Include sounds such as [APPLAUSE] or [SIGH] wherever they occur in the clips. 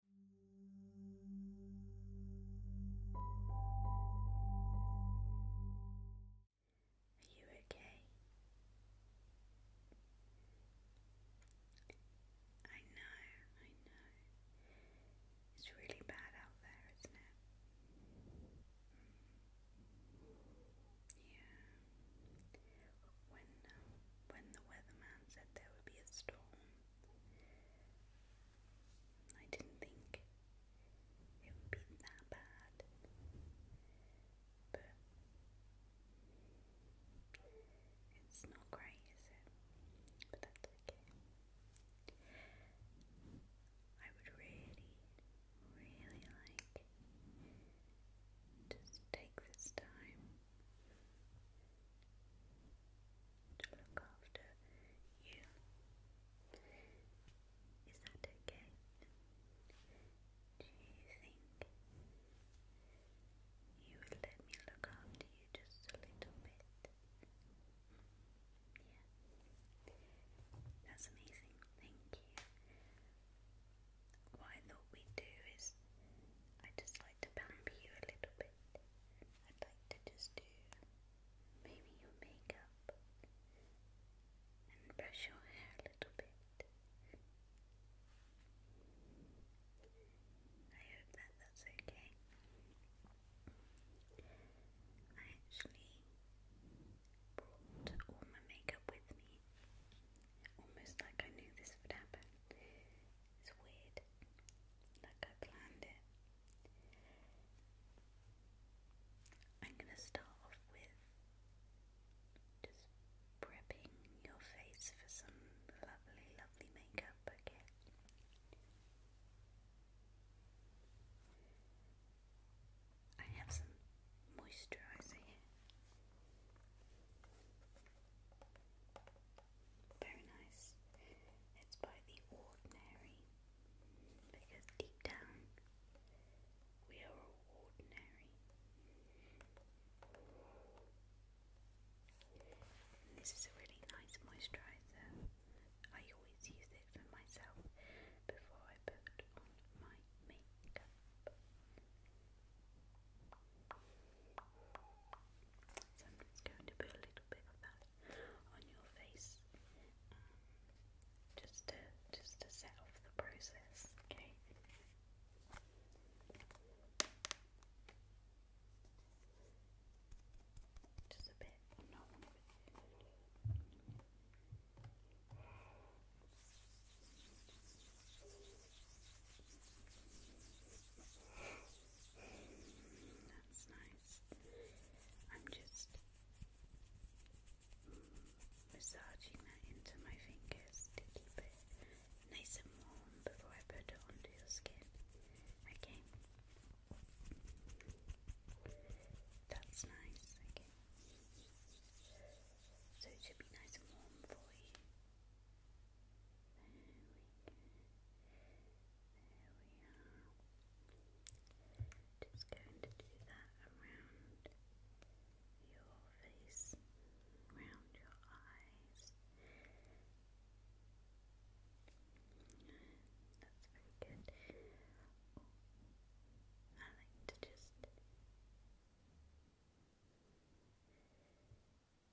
Are you okay? I know, I know. It's really bad out there, isn't it? Mm. Yeah. When uh, when the weatherman said there would be a storm, I didn't think it would be that bad, but it's not great, is it? But that's okay. I would really, really like. Just take this time to look after you. Is that okay? Do you think you would let me look after you just a little bit? Yeah. That's amazing. Thank you. What I thought we'd do is I just like to pamper you a little bit. I'd like to just do maybe your makeup and brush your hair a little bit. I hope that that's okay. I actually brought all my makeup with me, almost like I knew this would happen. It's weird. Like I planned it. I'm going to start off with just prepping your face for some lovely, lovely makeup, okay? I have some moisturizer very nice. It's by The Ordinary because deep down we are ordinary. this is a really nice moisturizer. I always use it for myself before I put on my makeup. So I'm just going to put a little bit of that on your face, um, just to just to set off the process. Okay. Just a bit. That's nice. I'm just massaging that into my fingers to keep it nice and warm before I put it onto your skin. Okay. That's nice. Okay. So it should be nice and warm for you are. Just going to do that around your face, around your eyes. That's very good. I like to just just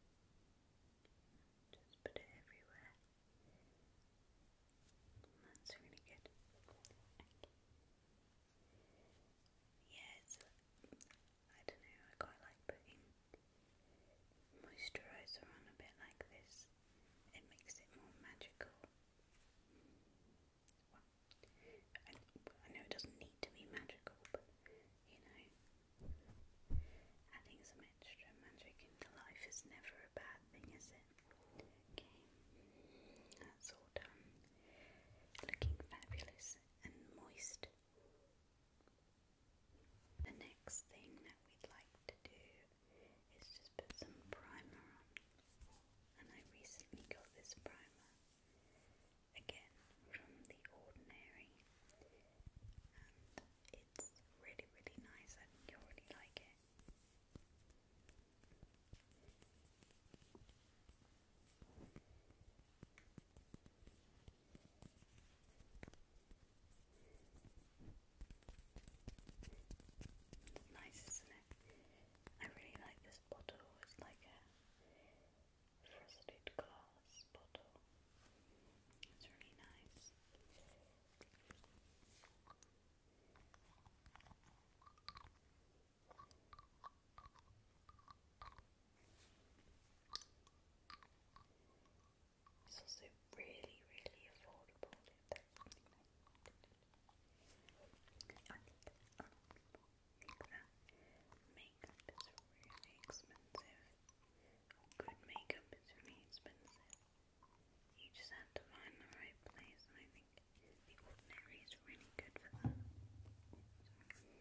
put it everywhere. That's really good. Okay. I don't know, I quite like putting moisturiser on a bit like this. It makes it more magical. Well, I know it doesn't need to be magical, but you know. Adding some extra magic into life is never a bad thing, is it? Okay, that's all done. Looking fabulous and moist. The next thing that we'd like to do is just put some primer on. And I recently got this primer again from The Ordinary. It's really, really nice. I you'll really like it. nice, isn't it? I really like this bottle. It's like a frosted glass bottle. It's really nice. It's also really, really affordable you Makeup is really expensive. Good makeup is really expensive. You just have to find the right place, I think the ordinary is really good for that. Okay,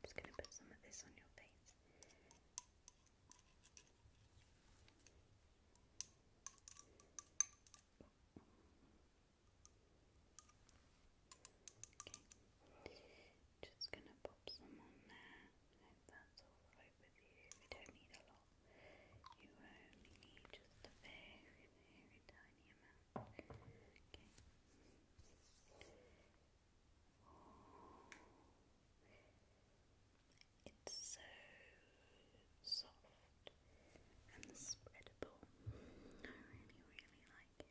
just going to put some of this on your face. Okay. Just gonna pop some on there. Hope that's alright with you. We don't need a lot. You only need just a very, very tiny amount. Okay. It's so soft and spreadable. I really, really like it.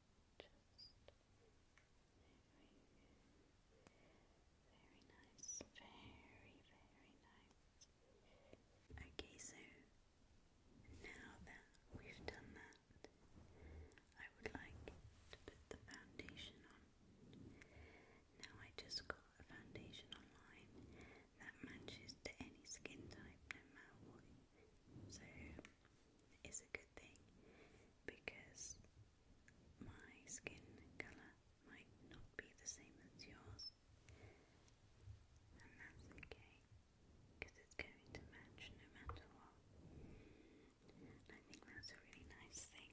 Very nice. Very, very nice. Okay, so now that we've done that, I would like to put the foundation on. Now I just got a foundation online that matches to any skin type, no matter So it's a good thing because my skin colour might not be the same as yours, and that's okay because it's going to match no matter what. I think that's a really nice thing.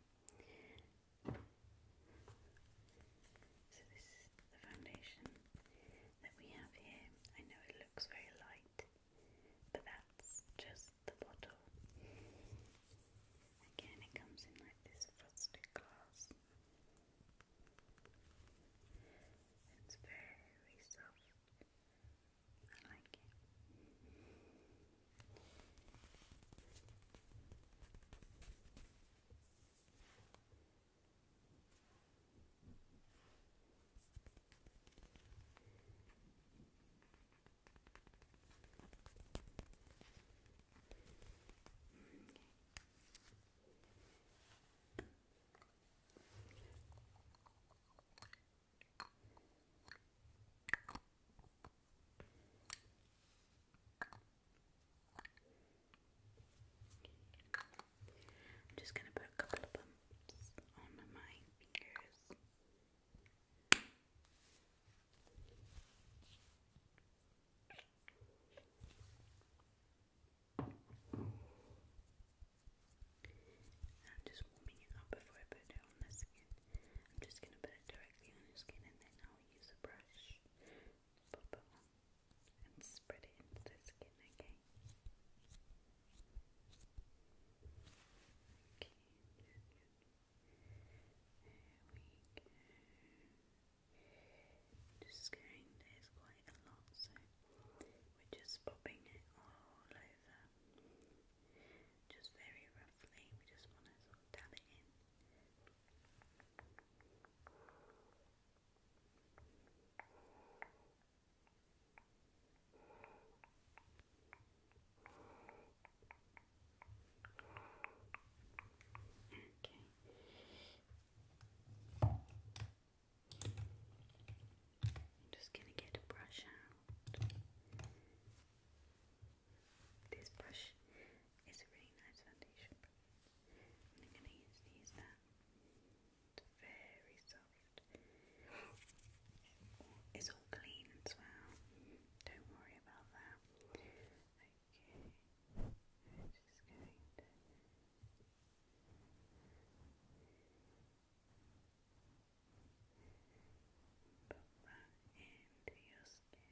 So, this is the foundation that we have here. I know it looks very light, but that's just the bottle. Again, it comes in like this frosted glass. It's very soft. I like it. I'm just going to put a couple of bumps on my fingers. I'm just warming it up before I put it on the skin. I'm just going to put it directly on your skin and then I'll use a brush to pop it on and spread it into the skin, okay? go. Just going, quite a lot, so we're just popping it all over. Just very roughly, we just want to sort of dab it in. Okay. I'm just going to get a brush out. This brush is a really nice foundation brush. I'm going to use these now. Uh, it's very soft. It's all clean as well. Don't worry about that. Okay. I'm just going to put that into your skin.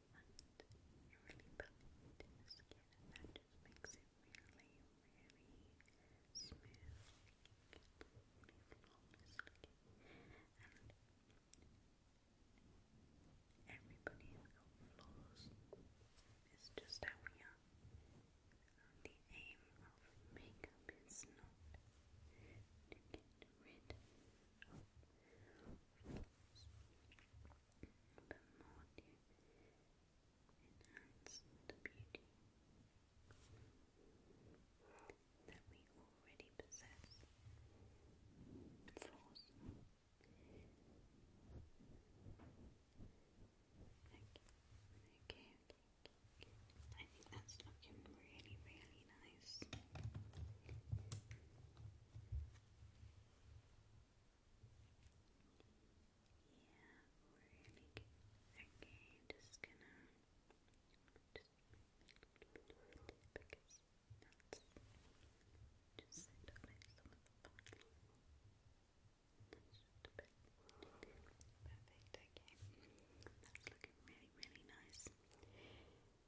and you really build skin and just makes it really, really smooth looking, and everybody has got it's just how we are the aim of makeup is not to get rid of more to enhance the beauty that we already possess. Force. Okay, okay, okay. I think that's looking really, really nice. Yeah, really Okay, just gonna just a little bit because just sit up next to perfect, okay. That's looking really, really nice.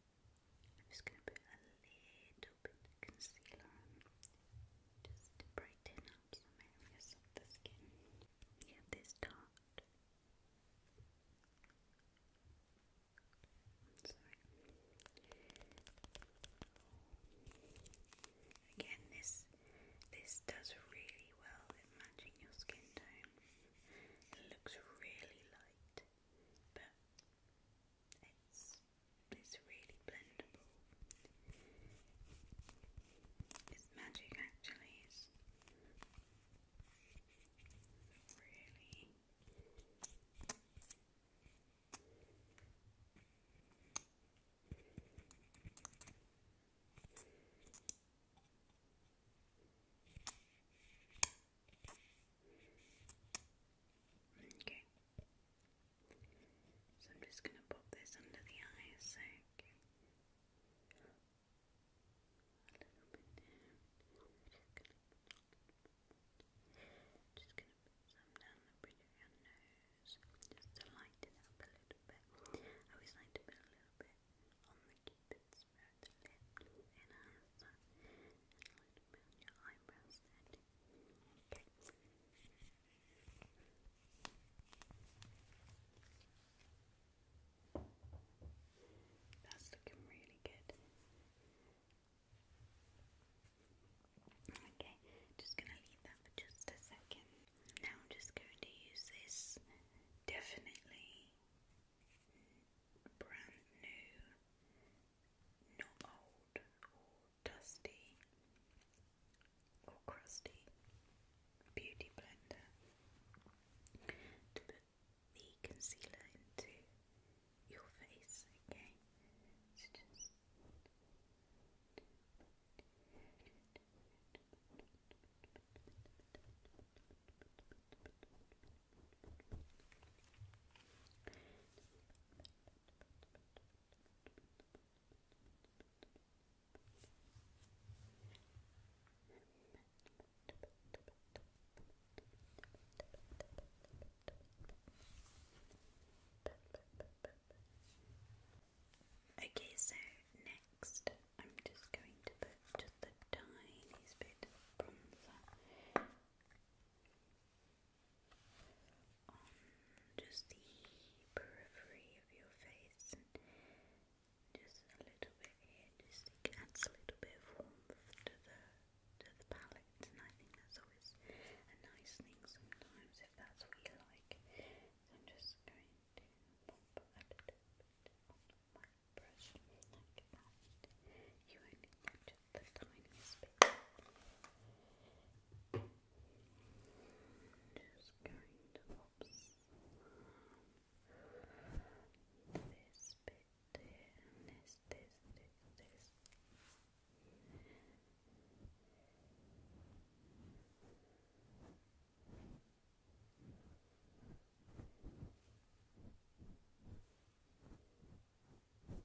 I'm just going to put a little bit concealer just to brighten up some areas of the skin. sorry. Again, this this does really well at matching your skin tone. It looks really light, but it's it's really blendable. It's magic actually, it's really Okay. So I'm just going to pop this under the eyes, so a little bit down. Just going to put some down the bridge of your nose, just to lighten up a little bit. I always like to put a little bit on the cupid's bow, the lip, in our plasma and That's looking really good. Okay, just gonna leave that for just a second. Now I'm just going to use this definitely brand new not old or dusty or crusty beauty blender to put the concealer into your face, okay? Okay, so next I'm just going to put just the tiniest bit of bronzer on um, just the periphery of your face just a little bit here, just it adds a little bit of warmth to the to the palette and I think that's always a nice thing sometimes if that's what you like. I'm just going to pop a little bit on my brush like that. You only get the tiniest bit. Just going to pops this this, this, this, this. Very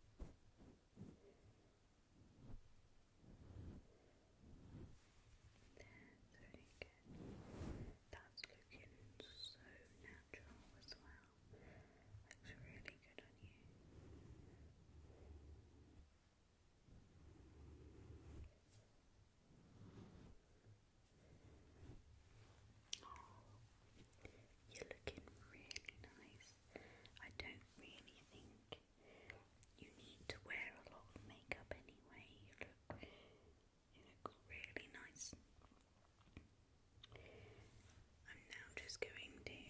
That's looking so natural as well. Looks really good on you. you're looking really nice I don't really think you need to wear a lot of makeup anyway. You look, you look really nice. I'm now just going to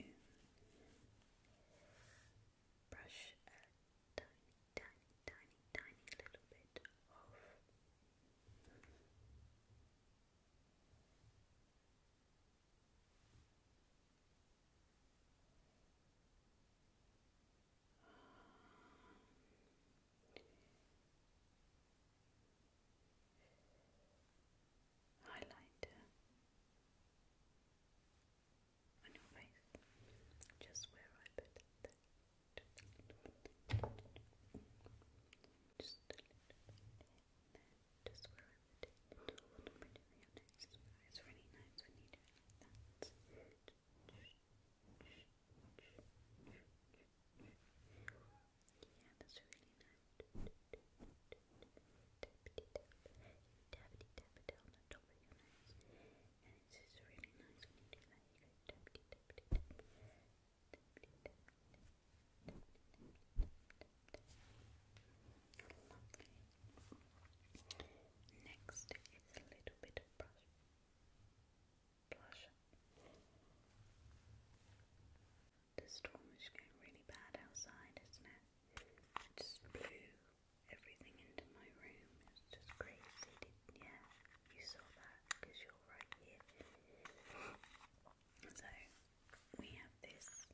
brush a tiny, tiny, tiny, tiny little bit off highlighter on your face, just where I put it. Just a little bit just where I would do it all pretty honest. It's really nice when you do it like that. Yeah, that's really nice. Tappity tap, tappity tap it on the top of your nose, and it's just really nice when you do that. You go tappity tappity tap, tappity tap, Lovely. Next is a little bit of brush. Blush. The storm is going really bad outside, isn't it? just blew everything into my room. It's just crazy. Didn't, yeah, you saw that because you're right here. So we have this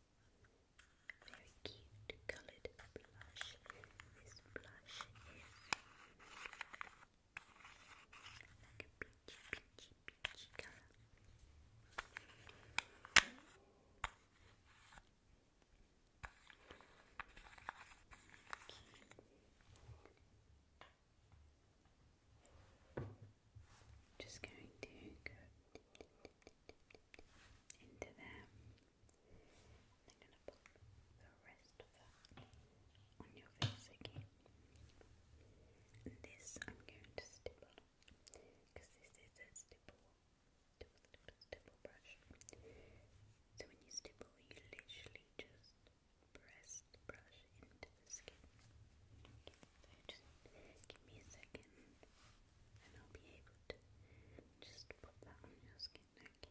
very cute colored blush. This blush is like a peachy, peachy, peachy color just going to go into there. I'm going to put the rest of that on your face again. this I'm going to stipple because this is a stipple, stipple, stipple brush. So when you stipple, you literally just press the brush into the skin. just give me a second and I'll be able to just put that on your skin, okay?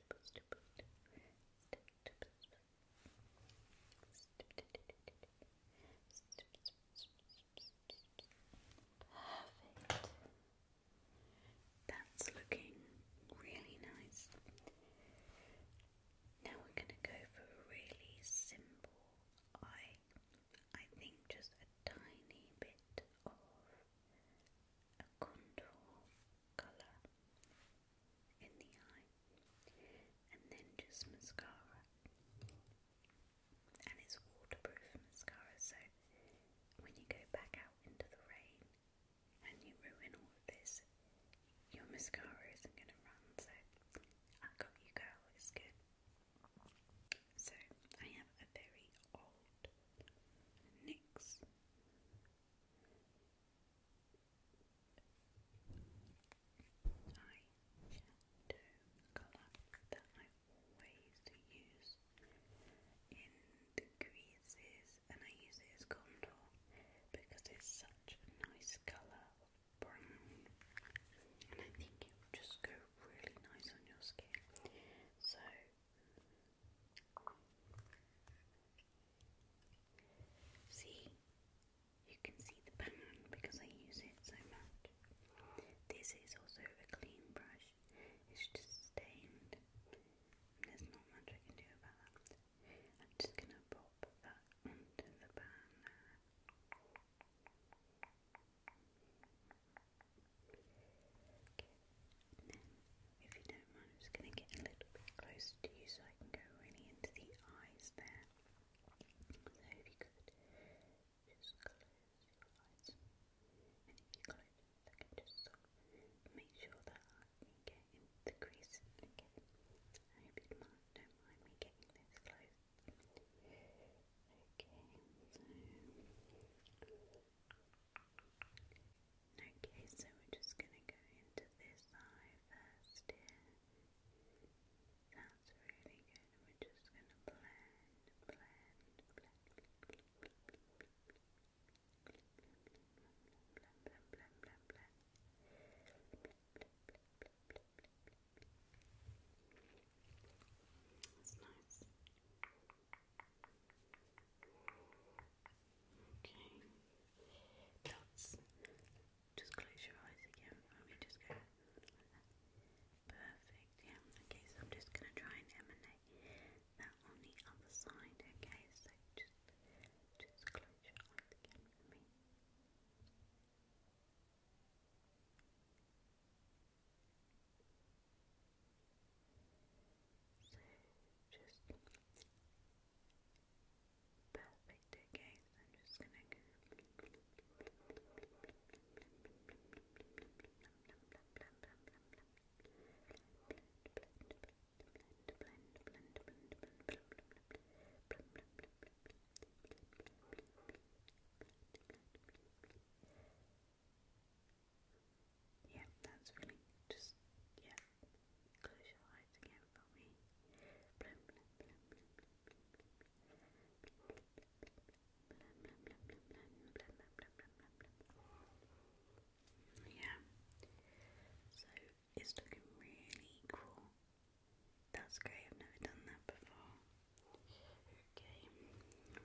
Perfect. That's looking really nice. Now we're going to go for a really simple eye. I think just a tiny bit of contour color in the eye, and then just mascara. And it's waterproof mascara, so when you go back out into the rain and you ruin all of this, your mascara isn't going to run. So I got you, girl. It's good. So I have a very old NYX eyeshadow colour that I always use in the creases, and I use it contour because it's such a nice colour brown, and I think it will just go really nice on your skin. So See, you can see the pattern because I use it so much. This is also a clean brush, it's just stained. There's not much I can do about that. I'm just gonna pop that onto the pan. Okay. if you don't mind, I'm just going to get a little bit closer to you so I can go really into the eyes there. So if you could just close your eyes, and if you can just make sure that I get into the crease. Okay. I hope you don't mind me getting this close. Okay, so Okay, so we're just going to go into this eye first here. That's really good. we're just going to blend, blend, blend, blend, blend, blend, blend, blend, blend, blend, blend. It's nice. Okay. Dots. Just close your eyes again for me. Just go Perfect. Yeah. Okay. So I'm just gonna try and emanate that on the other side. Okay. So just, just close your eyes again for me. So just perfect. Okay, I'm just gonna yeah, that's really just, yeah. Close your eyes again for me. Blum, blum, blum, blum, blum, blum, blum, blum, blum, blum, blum, blum, blum. Yeah. So it's looking really cool. That's great, I've never done that before. Okay,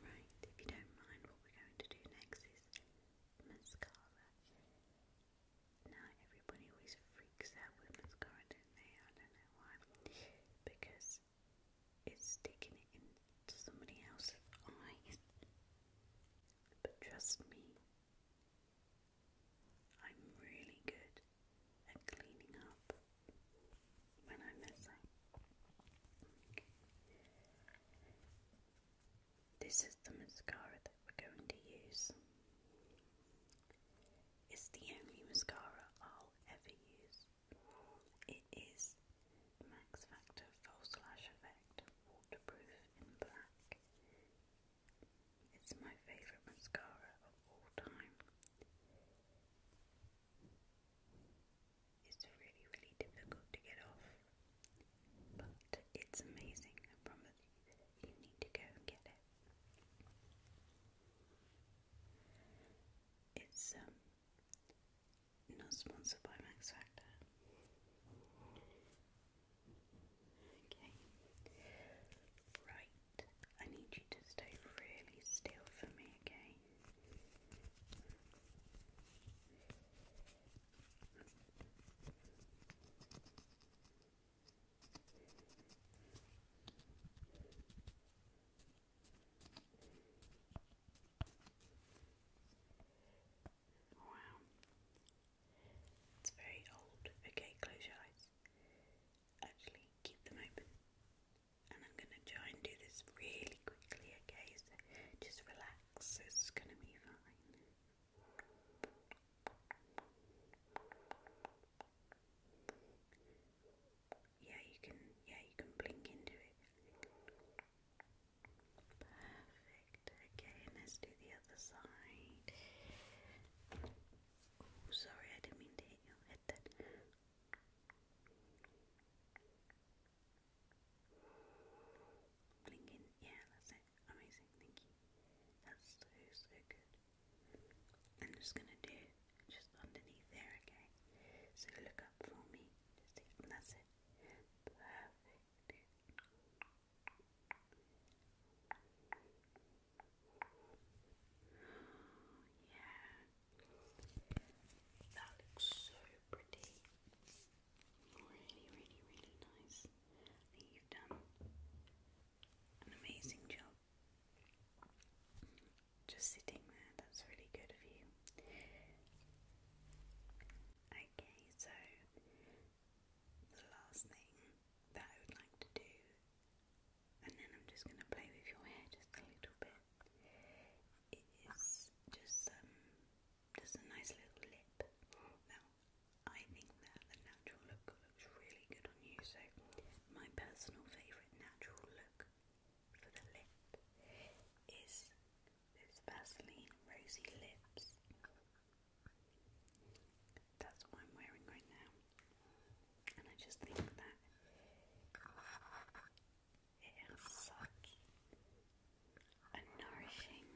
right, if you don't mind, what we're going to do next is mascara. Now everybody always freaks out with mascara, do I don't know why. Because it's sticking into somebody else's eyes. But trust me, I'm really good at cleaning up when I mess up. This is the mascara that we're going to use. It's the only mascara I'll ever use. It is Max Factor False Lash Effect Waterproof in Black. It's my favourite mascara of all time. It's really, really difficult to get off, but it's amazing. I promise you, you need to go and get it. It's um, not sponsored by Max Factor. Okay, right. I need you to stay really still for me, okay? Wow. It's very old. Okay, close your eyes. Actually, keep them open. And I'm going to try and do this really quickly, okay? So just relax relax, it's gonna be fine. Yeah, you can yeah, you can blink into it. Perfect. Okay, let's do the other side. sorry, I didn't mean to hit your head then. Blinking, yeah, that's it. Amazing, thank you. That's so, good. I'm just gonna do just underneath there, okay? So look up for me. Just see, that's it. Perfect. [GASPS] Yeah. That looks so pretty. Really, really, really nice. you've done an amazing job. Just sitting there, that's really good of you. Okay, so the last thing that I would like to do, and then I'm just going to play with your hair just a little bit, is just some um, just a nice little lip. Now, I think that the natural look looks really good on you, so my personal favourite natural look for the lip is this Vaseline Rosy Lips. That's what I'm wearing right now. And I just think that it is sucky and nourishing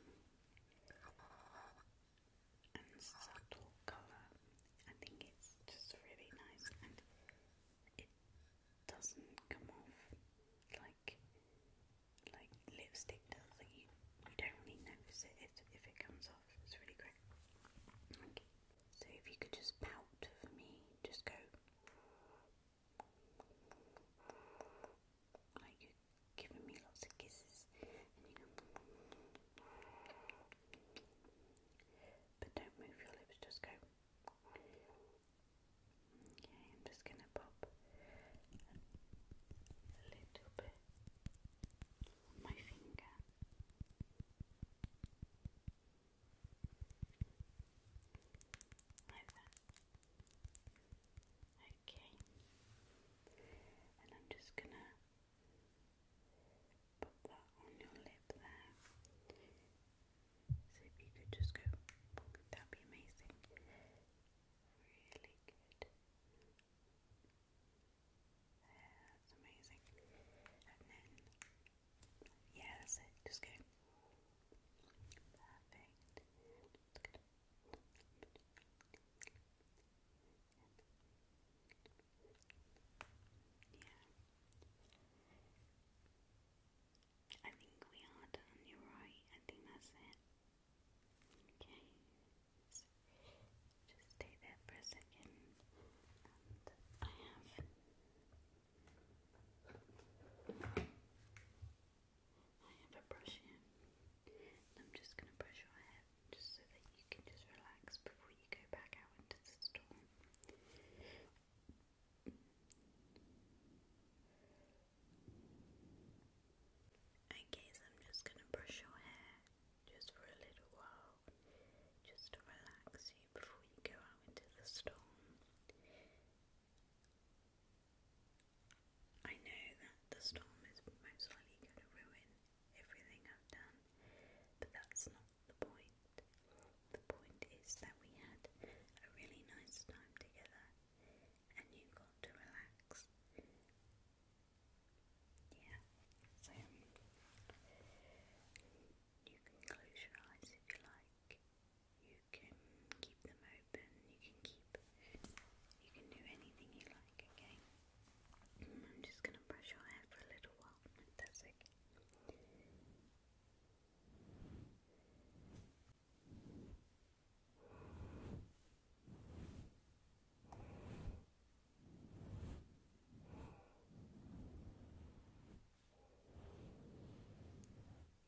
and subtle colour. I think it's just really nice and it doesn't come off like like lipstick does. Like you, you don't really notice it if, it comes off. It's really great. so if you could just pout for me, just go. Like you giving me lots of kisses, But don't move your lips, just go. I'm just gonna pop a little bit on my finger. Okay, and I'm just gonna put that on your lip there. So if you could just go, that'd be amazing. Really good. that's amazing. And then, yeah, that's it. Just go. Perfect. Yeah. I think we are done, you're right. I think that's it. Okay. So just stay there for a second. I have I have a brush here. I'm just going to brush your hair just so that you can just relax before you go back out into the storm. Okay, so I'm just going to brush your hair just for a little while, just to relax you before you go out into the storm. I know that the storm is most likely going to ruin everything I've done, but that's not the point. The point is that we had a really nice time together and you got to relax. Yeah, so you can close your eyes if you like. You can keep them open. You can keep. You can do anything you like. Okay. I'm just gonna brush your hair for a little while. If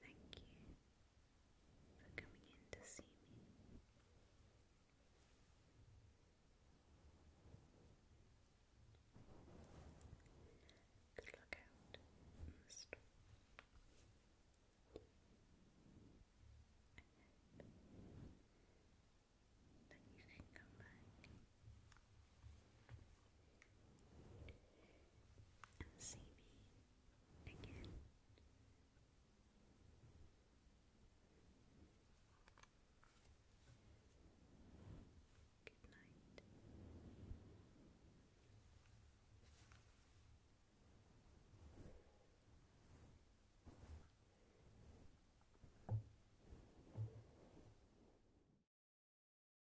Thank you for coming in to see me. Good luck out in the storm. I come back and see me again. Good night.